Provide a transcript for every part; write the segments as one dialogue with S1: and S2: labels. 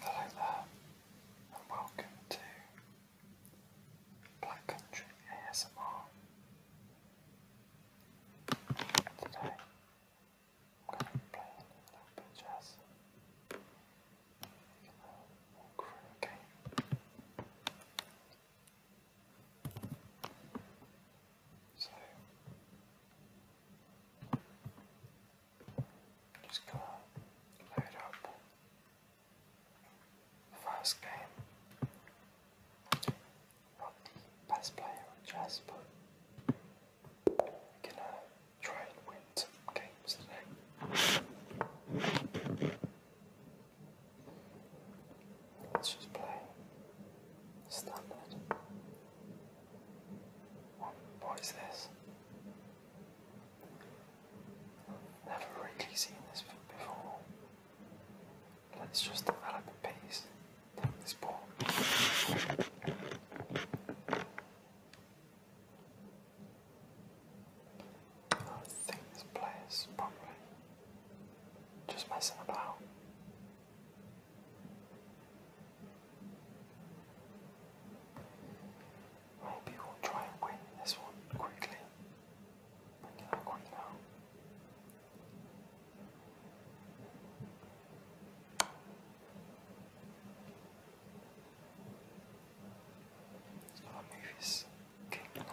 S1: Hello there, and welcome to Black Country ASMR. Today, I'm going to be a little bit of jazz. You can walk game. So, just gonna load up first game. Not the best player on chess, but gonna try and win some games today. Let's just play standard. What is this? Never really seen this before. Let's just develop a piece. Take this ball. I think this player's probably just messing about. Maybe we'll try and win this one quickly. Bring that queen out. He's got to move now.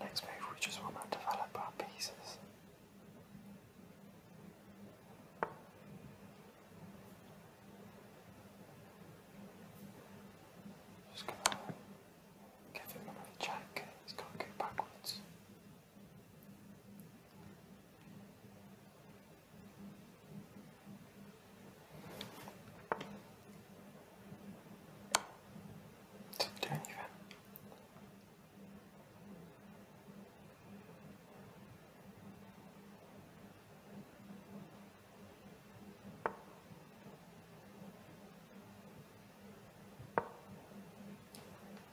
S1: Next move we just want to develop our pieces. Just gonna give him another check, he's gotta go backwards. Do anything.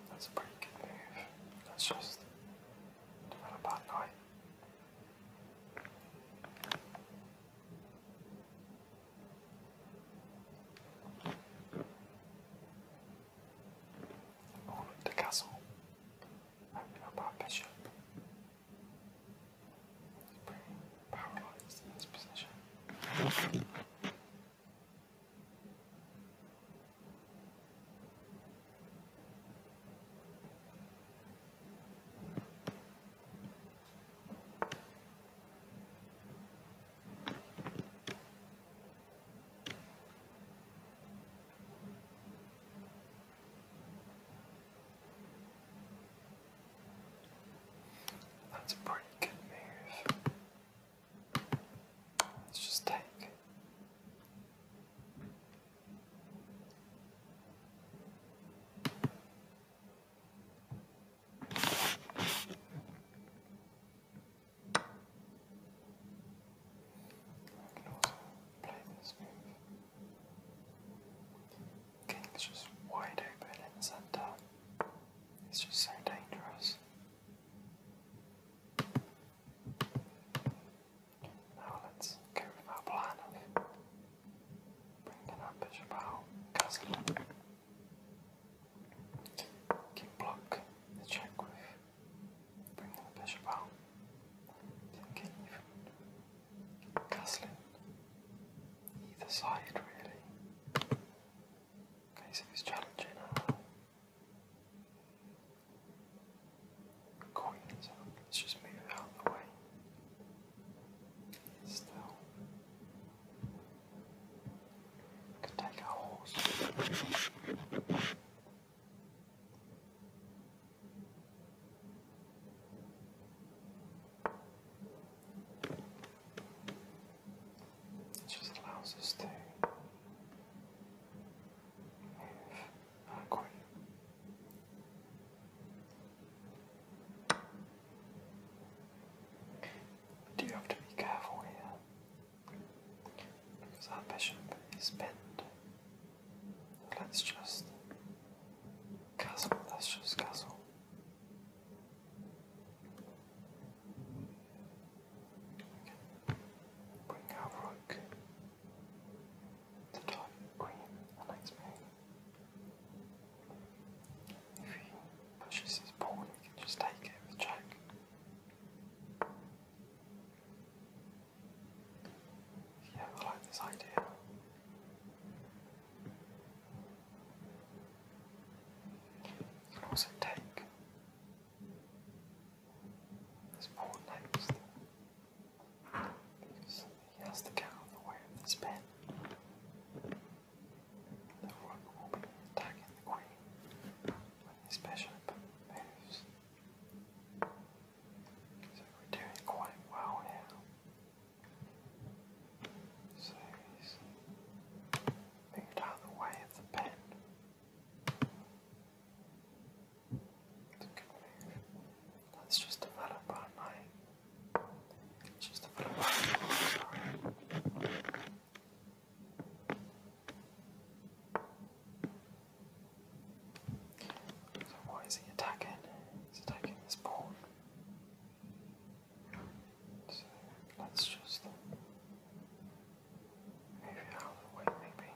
S1: That's a pretty good move. That's us just develop our knight Oh, the castle. I don't know bishop. He's pretty in position. That's a pretty good move. Let's just take play this move. King's just wide open in the centre. It's just so dangerous. Now let's go with our plan of bringing our bishop out, castle. Can block the check with bringing the bishop out. can even castling either side really. Okay, so he's challenging Coin Let's just move it out the way. Still. could take our horse. It just allows us to move Encore. have to be careful here. Because our bishop is bent. Let's just castle, let's just castle. bring our rook the top queen and knight's If he pushes his pawn, he can just take it with check. Yeah, I like this idea. You can also take his poor neighbours he has to go the way of this pen. The rook will be attacking the queen when moves. So we're doing quite well now. So he's moved out of the way of the pen. It's a good move. Let's just develop our knight. Let's just develop our knight. So why is he attacking? He's attacking this pawn. So let's just Move it out of the way, maybe.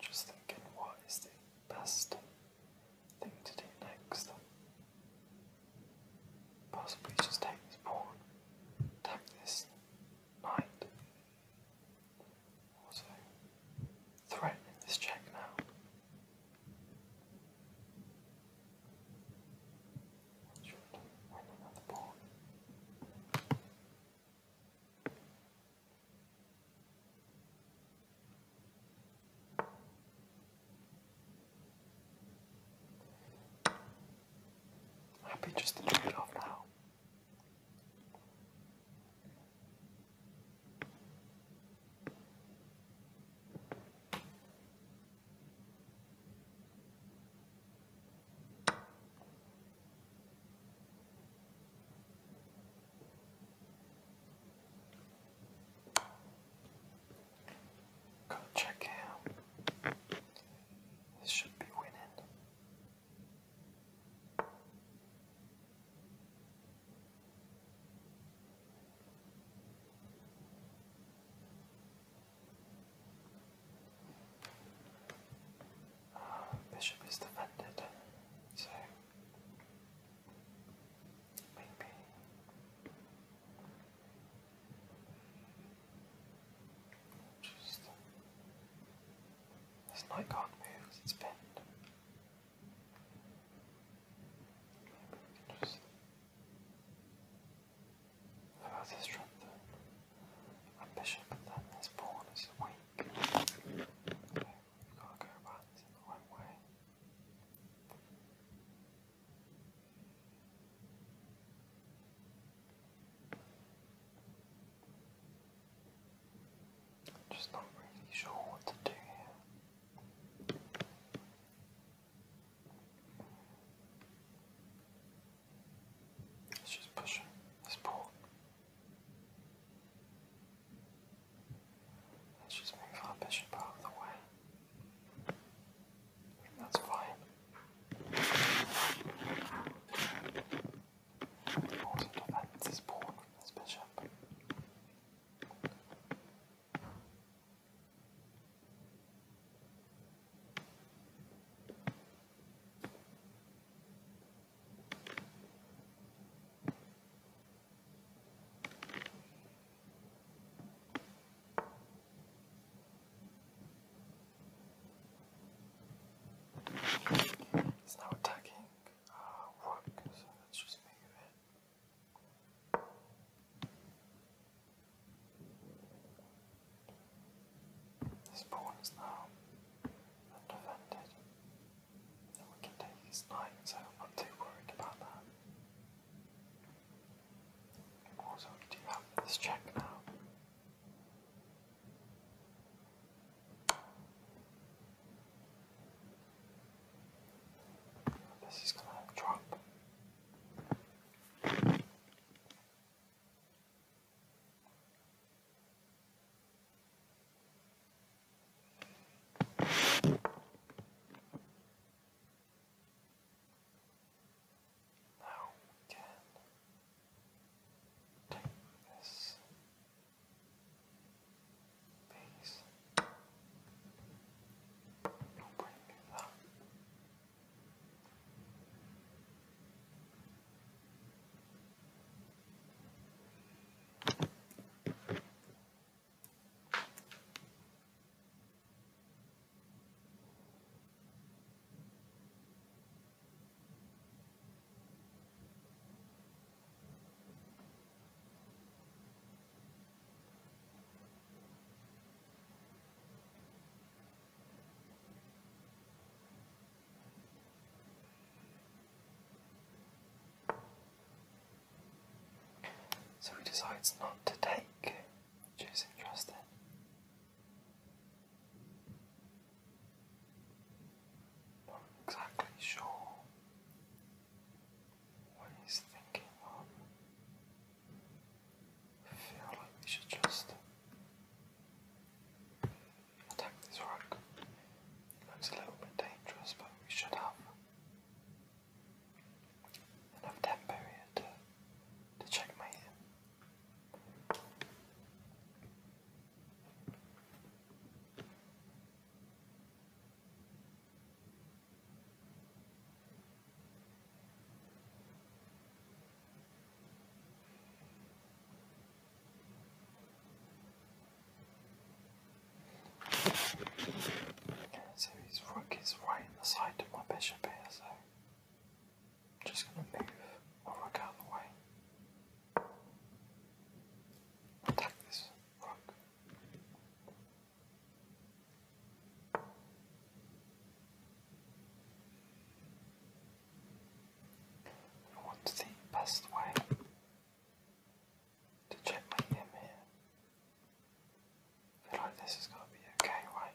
S1: Just thinking what is the best thing to do next. Possibly just take this pawn, attack this knight. Also, threatening this check now. Shoot, running on the to turn off now. Go check him. This should be winning. Bishop is defended, so maybe. Just this knight can't move it's pinned. just Thou hast a strength and ambition, but then his is weak. Okay, have got to go about this in the right way. I'm just not really sure what to do here. Let's just push him. Let's pull. Let's just move our bishop out of the way. That's fine. Also defend this pawn from this bishop. It's now attacking uh, work, so let's just move it. His pawn is now undefended. we can take his knight, so I'm not too worried about that. Also, do have this check now. This is gonna drop. Now we take this. Peace. Don't bring so he decides not to take, which is interesting. Not exactly sure what thinking of. I feel like we should just attack this rock. It a little bit dangerous, but we should have enough tempo here to, to checkmate so his rook is right in the side of my bishop here, so I'm just going to move my rook out of the Attack this rook. What's the best way to check my email. I feel this is gonna be okay, right?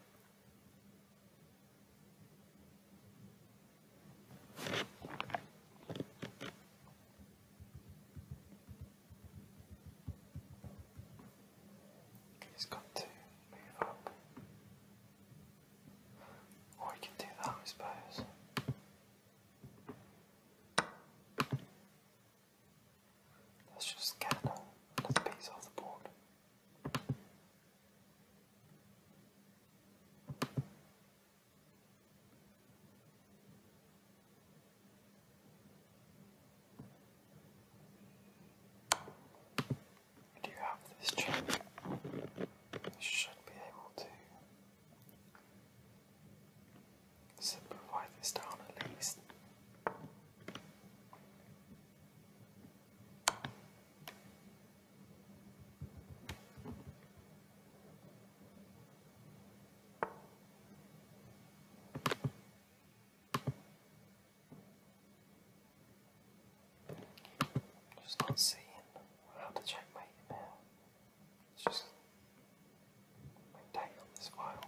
S1: He's got to move up. Or can do that, I suppose. Let's just scan another piece off the board. Do you have this chip? should be able to simplify this down at least. Just not seeing how to check my email. It's just my day on this file.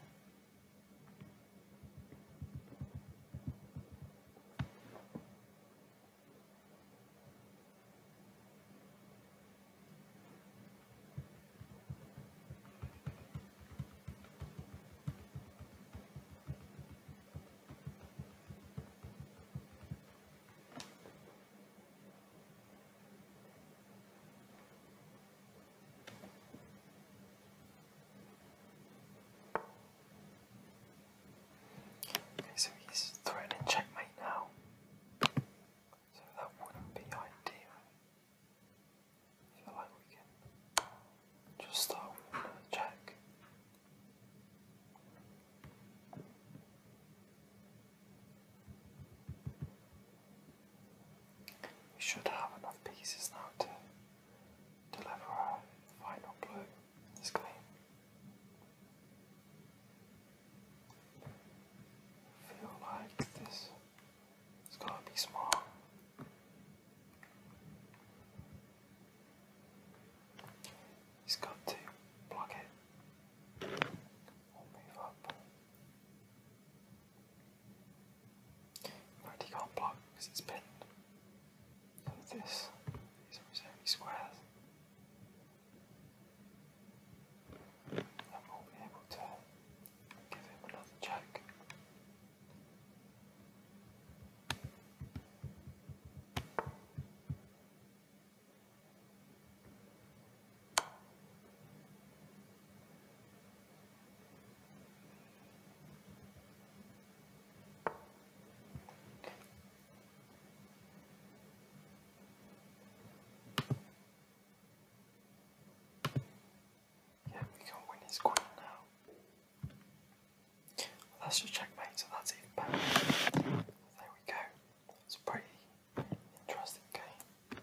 S1: Okay, so he's threatening checkmate now. So that wouldn't be ideal. feel like we can just start with a jack. We should have enough pieces now to deliver our final blow in this game feel like this is gonna be small. He's got to block it or move up. But can't block because it's pinned. So this, these only squares and will be able to give him another joke. Yeah, we can win his queen now. that's just checkmate, so that's even better. There we go. It's a pretty interesting game.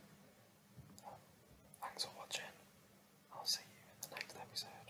S1: thanks for watching. I'll see you in the next episode.